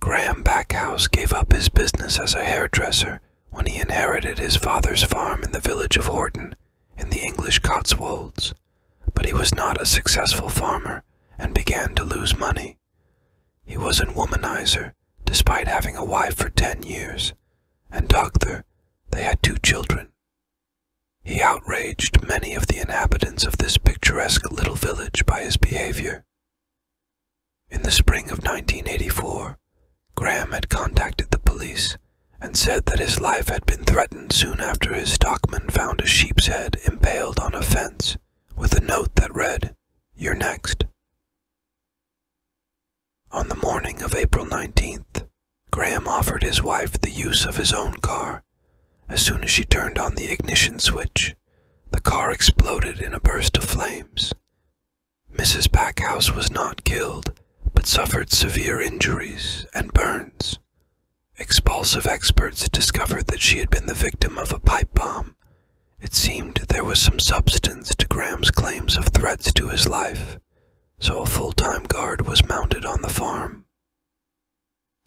Graham Backhouse gave up his business as a hairdresser when he inherited his father's farm in the village of Horton in the English Cotswolds, but he was not a successful farmer and began to lose money. He was an womanizer, despite having a wife for ten years, and Doctor, they had two children. He outraged many of the inhabitants of this picturesque little village by his behavior. In the spring of 1984, Graham had contacted the police and said that his life had been threatened soon after his stockman found a sheep's head impaled on a fence with a note that read, You're next. On the morning of April 19th, Graham offered his wife the use of his own car as soon as she turned on the ignition switch the car exploded in a burst of flames. Mrs. Packhouse was not killed, but suffered severe injuries and burns. Expulsive experts discovered that she had been the victim of a pipe bomb. It seemed there was some substance to Graham's claims of threats to his life, so a full time guard was mounted on the farm.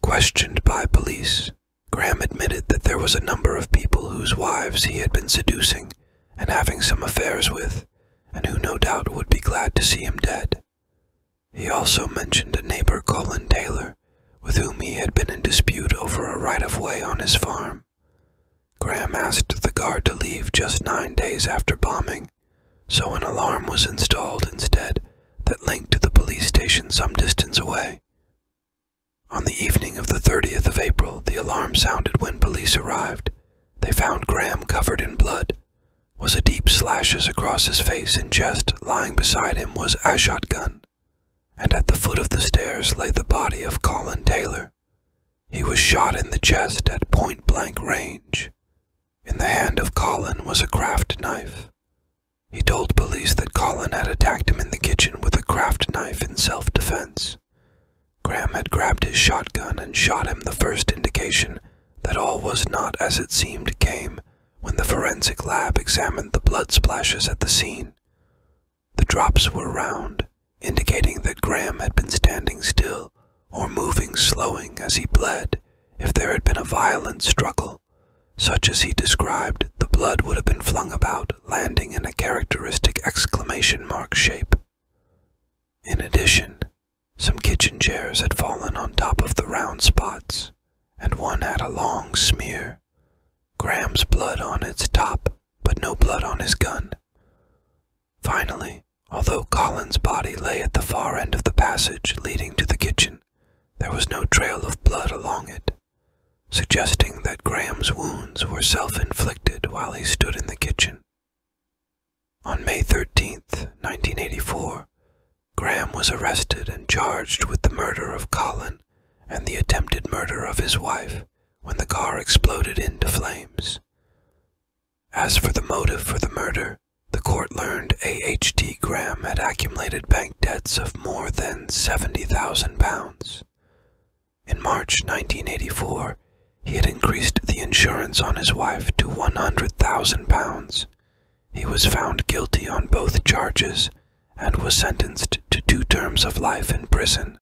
Questioned by police, Graham admitted that there was a number of people whose wives he had been seducing and having some affairs with, and who no doubt would be glad to see him dead. He also mentioned a neighbor, Colin Taylor, with whom he had been in dispute over a right of way on his farm. Graham asked the guard to leave just nine days after bombing, so an alarm was installed instead that linked to the police station some distance away. On the evening of the 30th of April, the alarm sounded when police arrived. They found Graham covered in blood. with deep slashes across his face and chest. Lying beside him was a shotgun, and at the foot of the stairs lay the body of Colin Taylor. He was shot in the chest at point blank range. In the hand of Colin was a craft knife. He told police that Colin had attacked him in the kitchen with a craft knife in self defense. Graham had grabbed his shotgun and shot him the first indication that all was not as it seemed came when the forensic lab examined the blood splashes at the scene. The drops were round, indicating that Graham had been standing still or moving slowly as he bled if there had been a violent struggle. Such as he described, the blood would have been flung about, landing in a characteristic exclamation mark shape. In addition, some kitchen chairs had fallen on top of the round spots, and one had a long smear. Graham's blood on its top, but no blood on his gun. Finally, although Colin's body lay at the far end of the passage leading to the kitchen, there was no trail of blood along it suggesting that Graham's wounds were self inflicted while he stood in the kitchen. On May 13th, 1984, Graham was arrested and charged with the murder of Colin and the attempted murder of his wife when the car exploded into flames. As for the motive for the murder, the court learned A.H.T. Graham had accumulated bank debts of more than £70,000. In March 1984, he had increased the insurance on his wife to £100,000. He was found guilty on both charges and was sentenced to two terms of life in prison.